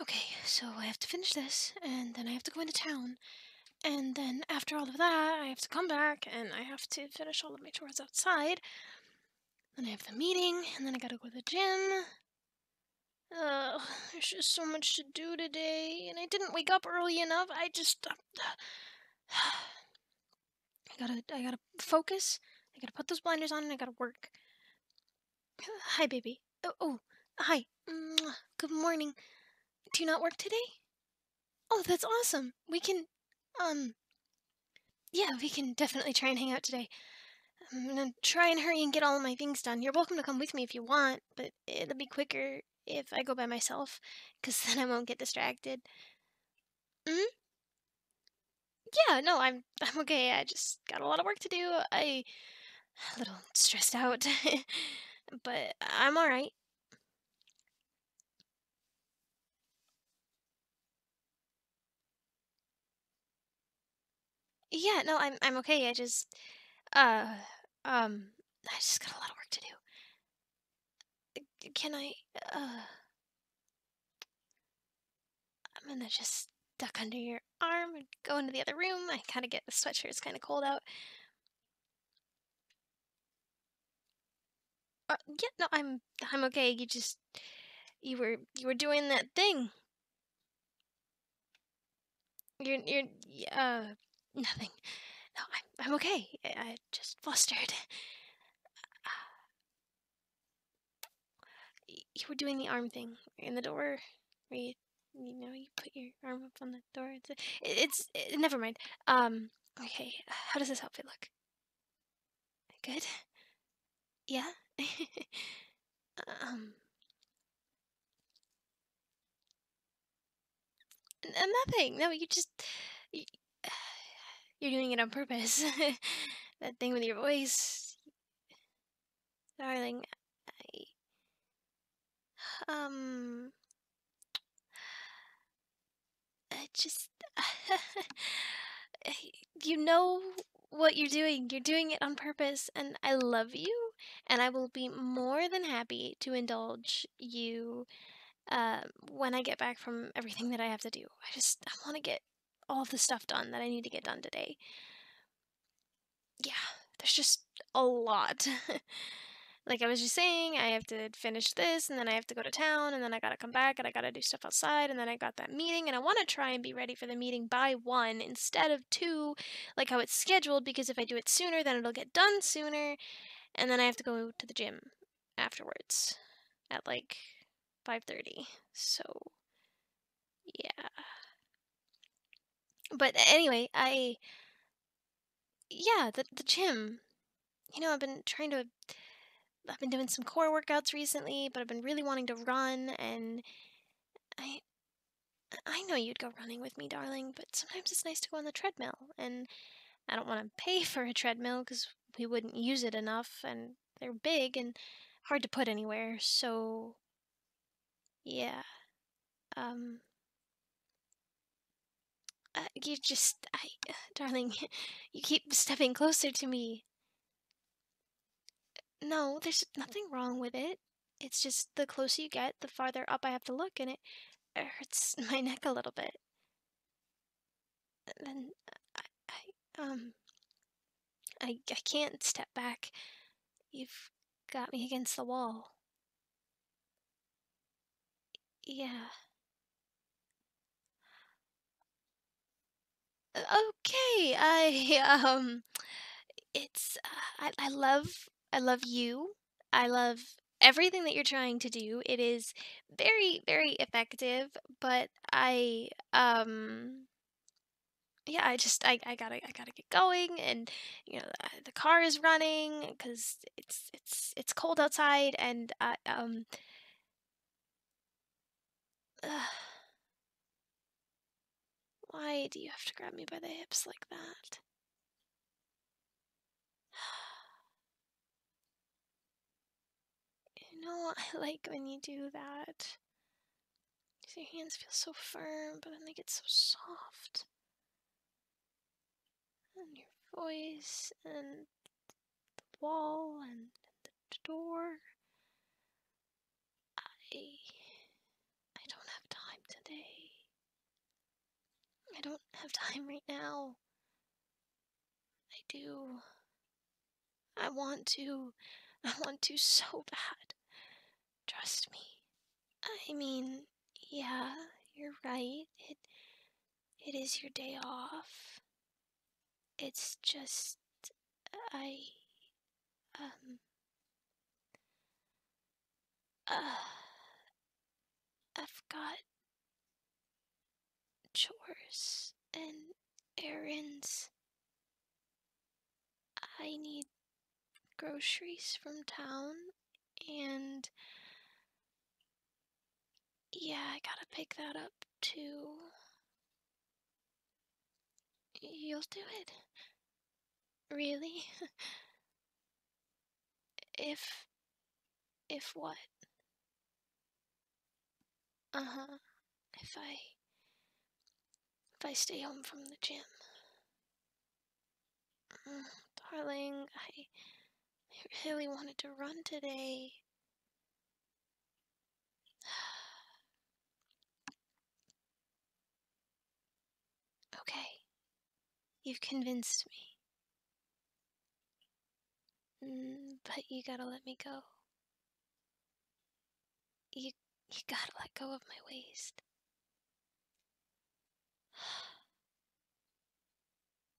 Okay, so I have to finish this, and then I have to go into town, and then after all of that, I have to come back, and I have to finish all of my chores outside. Then I have the meeting, and then I gotta go to the gym. Ugh, there's just so much to do today, and I didn't wake up early enough. I just, uh, I gotta, I gotta focus. I gotta put those blinders on, and I gotta work. Hi, baby. Oh, oh hi. Mm, good morning. Do you not work today? Oh, that's awesome. We can, um, yeah, we can definitely try and hang out today. I'm gonna try and hurry and get all my things done. You're welcome to come with me if you want, but it'll be quicker if I go by myself, because then I won't get distracted. Mm? Yeah, no, I'm I'm okay. I just got a lot of work to do. I a little stressed out, but I'm all right. Yeah, no, I'm I'm okay. I just uh um I just got a lot of work to do. Can I uh I'm gonna just duck under your arm and go into the other room. I kind of get the sweatshirt, it's kind of cold out. Uh, yeah, no, I'm I'm okay. You just you were you were doing that thing. You're you're uh nothing. No, I'm I'm okay. I, just flustered you were doing the arm thing in the door where you know you put your arm up on the door it's eh, never mind um okay how does this outfit look good yeah um nothing no you just you're doing it on purpose that thing with your voice Darling, I. Um. I just. you know what you're doing. You're doing it on purpose, and I love you, and I will be more than happy to indulge you uh, when I get back from everything that I have to do. I just. I want to get all of the stuff done that I need to get done today. Yeah, there's just a lot. like I was just saying, I have to finish this and then I have to go to town and then I gotta come back and I gotta do stuff outside and then I got that meeting and I wanna try and be ready for the meeting by one instead of two, like how it's scheduled, because if I do it sooner, then it'll get done sooner and then I have to go to the gym afterwards at like 5.30. So yeah. But anyway, I yeah, the the gym. You know, I've been trying to I've been doing some core workouts recently, but I've been really wanting to run and I I know you'd go running with me, darling, but sometimes it's nice to go on the treadmill and I don't want to pay for a treadmill cuz we wouldn't use it enough and they're big and hard to put anywhere. So yeah. Um uh, you just I uh, darling, you keep stepping closer to me. No, there's nothing wrong with it. It's just the closer you get, the farther up I have to look and it, hurts my neck a little bit. then I, I um, I, I can't step back. You've got me against the wall. Yeah. Okay, I, um, it's, uh, I, I love, I love you. I love everything that you're trying to do. It is very, very effective, but I, um, yeah, I just I, I gotta I gotta get going, and you know uh, the, car is running because it's it's it's cold outside, and I um. why do you have to grab me by the hips like that? You know, I like when you do that. Your hands feel so firm, but then they get so soft. And your voice, and the wall, and the door. I. I don't have time today. I don't have time right now. I do. I want to. I want to so bad. Trust me. I mean, yeah, you're right. It it is your day off. It's just I um uh I've got chores and errands. I need groceries from town and yeah, I gotta pick that up too. You'll do it. Really? if. if what? Uh huh. If I. If I stay home from the gym. Mm, darling, I. I really wanted to run today. okay. You've convinced me. Mm, but you gotta let me go. You, you gotta let go of my waist.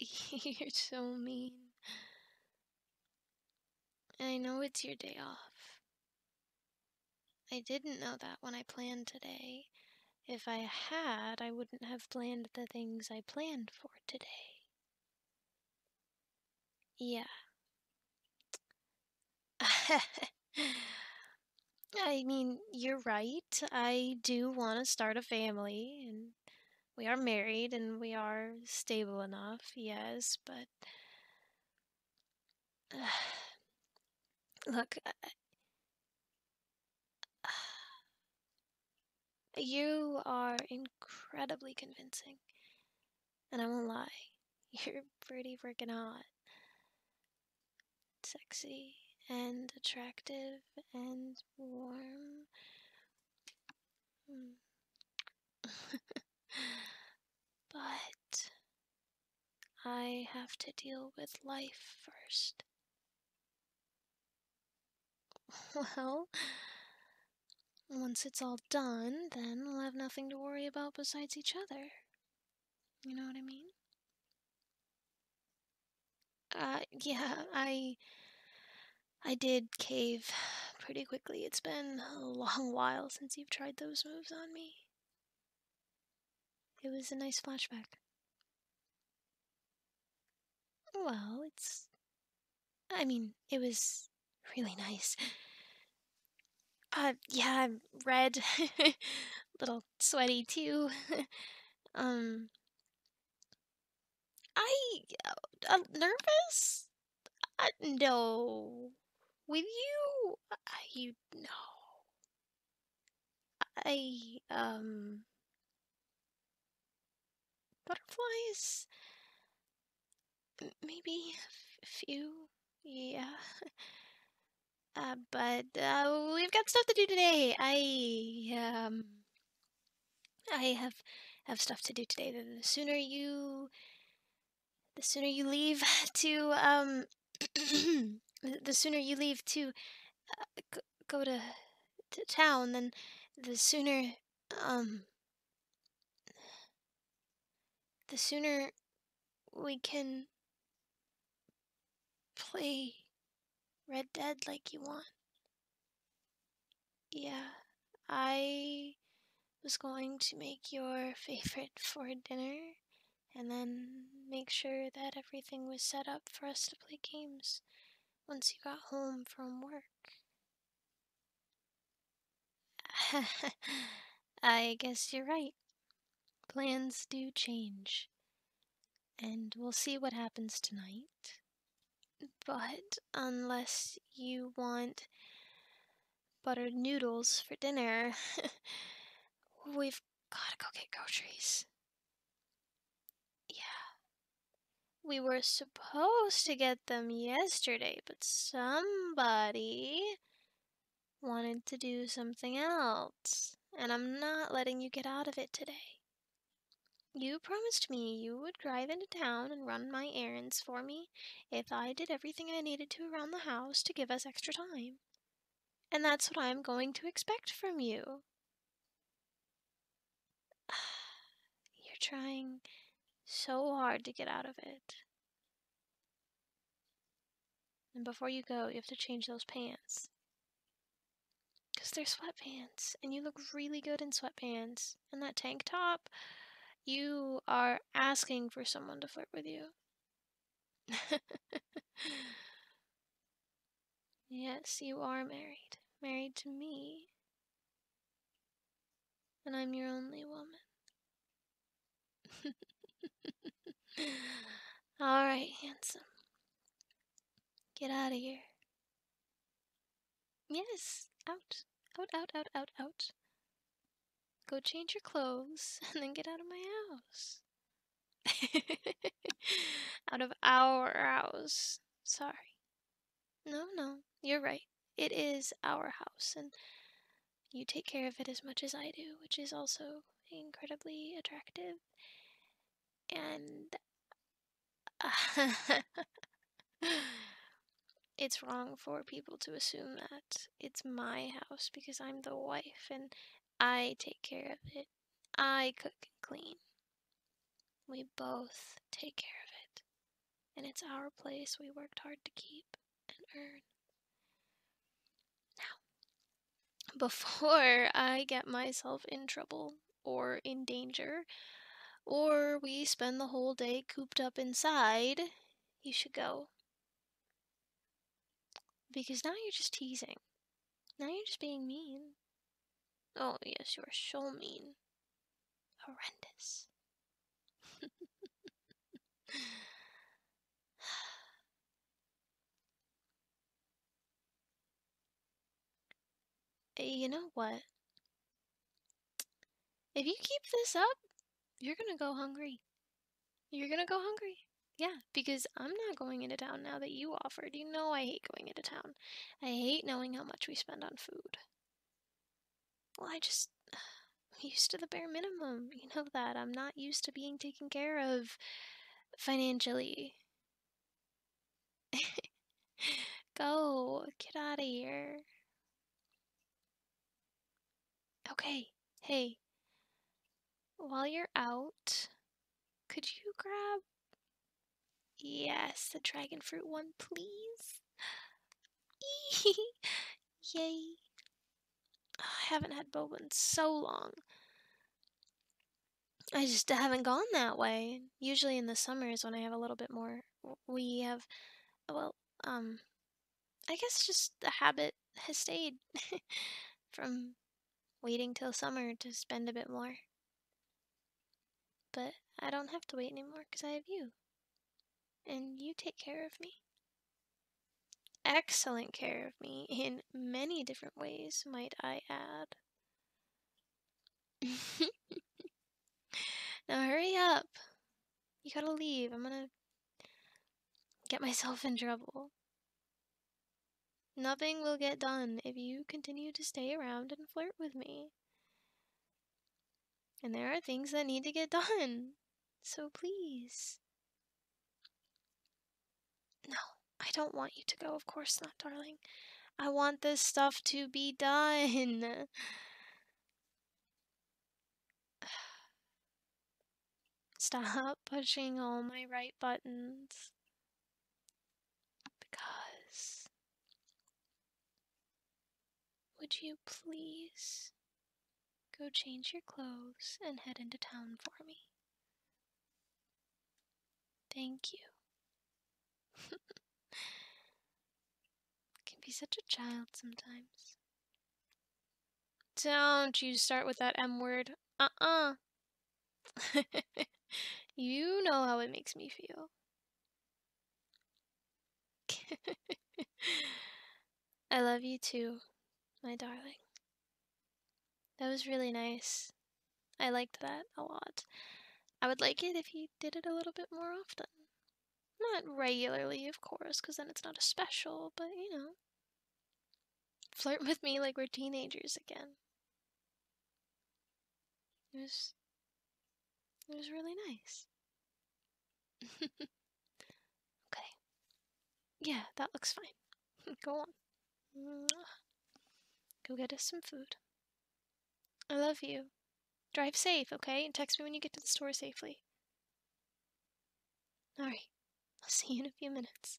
You're so mean. I know it's your day off. I didn't know that when I planned today. If I had, I wouldn't have planned the things I planned for today. Yeah. I mean, you're right. I do want to start a family, and we are married and we are stable enough, yes, but. look, you are incredibly convincing. And I won't lie, you're pretty freaking hot. Sexy and attractive and warm. Hmm. but I have to deal with life first. Well, once it's all done, then we'll have nothing to worry about besides each other. You know what I mean? Uh, yeah, I. I did cave pretty quickly. It's been a long while since you've tried those moves on me. It was a nice flashback. Well, it's I mean, it was really nice. Uh, yeah, I'm red. Little sweaty, too. um. I. am uh, nervous? Uh, no. With you? Uh, you. know. I. Um butterflies? Maybe a few, yeah. Uh, but uh, we've got stuff to do today. I um, I have have stuff to do today. The, sooner you, the sooner you leave to um, the sooner you leave to uh, go to, to town, then the sooner um, the sooner we can play Red Dead like you want. Yeah, I was going to make your favorite for dinner and then make sure that everything was set up for us to play games once you got home from work. I guess you're right. Plans do change. And we'll see what happens tonight. But unless you want buttered noodles for dinner, we've gotta go get groceries. Yeah, we were supposed to get them yesterday, but somebody wanted to do something else, and I'm not letting you get out of it today. You promised me you would drive into town and run my errands for me if I did everything I needed to around the house to give us extra time. And that's what I'm going to expect from you. You're trying so hard to get out of it. And before you go, you have to change those pants. Because they're sweatpants, and you look really good in sweatpants. And that tank top, you are asking for someone to flirt with you. yes, you are married. Married to me and I'm your only woman. All right, handsome. Get out of here. Yes, out. Out, out, out, out, out. Go change your clothes and then get out of my house. out of our house. Sorry. No, no, you're right. It is our house, and you take care of it as much as I do, which is also incredibly attractive. And it's wrong for people to assume that it's my house because I'm the wife and I take care of it. I cook and clean. We both take care of it, and it's our place we worked hard to keep and earn. Now, before I get myself in trouble or in danger, or we spend the whole day cooped up inside, you should go. Because now you're just teasing. Now you're just being mean. Oh, yes, you are so mean horrendous. Eh, you know what? If you keep this up, you're gonna go hungry. You're gonna go hungry. Yeah, because I'm not going into town now that you offered. You know I hate going into town. I hate knowing how much we spend on food. Well, I just. I'm used to the bare minimum. You know that. I'm not used to being taken care of financially. Go. Get out of here. Okay. Hey. While you're out, could you grab Yes, the dragon fruit one, please. Yay. I haven't had boba in so long. I just haven't gone that way. Usually in the summer is when I have a little bit more. We have, well, um, I guess just the habit has stayed from waiting till summer to spend a bit more. But I don't have to wait anymore because I have you. And you take care of me. Excellent care of me in many different ways, might I add. now hurry up. You gotta leave. I'm gonna get myself in trouble. Nothing will get done if you continue to stay around and flirt with me. And there are things that need to get done. So please. No, I don't want you to go. Of course not, darling. I want this stuff to be done. Stop pushing all my right buttons. Because would you please go change your clothes and head into town for me? Thank you. Can be such a child sometimes. Don't you start with that M word. Uh uh. you know how it makes me feel. I love you too, my darling. That was really nice. I liked that a lot. I would like it if you did it a little bit more often. Not regularly, of course, because then it's not a special, but you know. Flirt with me like we're teenagers again. It was it was really nice. okay. Yeah, that looks fine. Go on. Go get us some food. I love you. Drive safe, okay? And text me when you get to the store safely. Alright, I'll see you in a few minutes.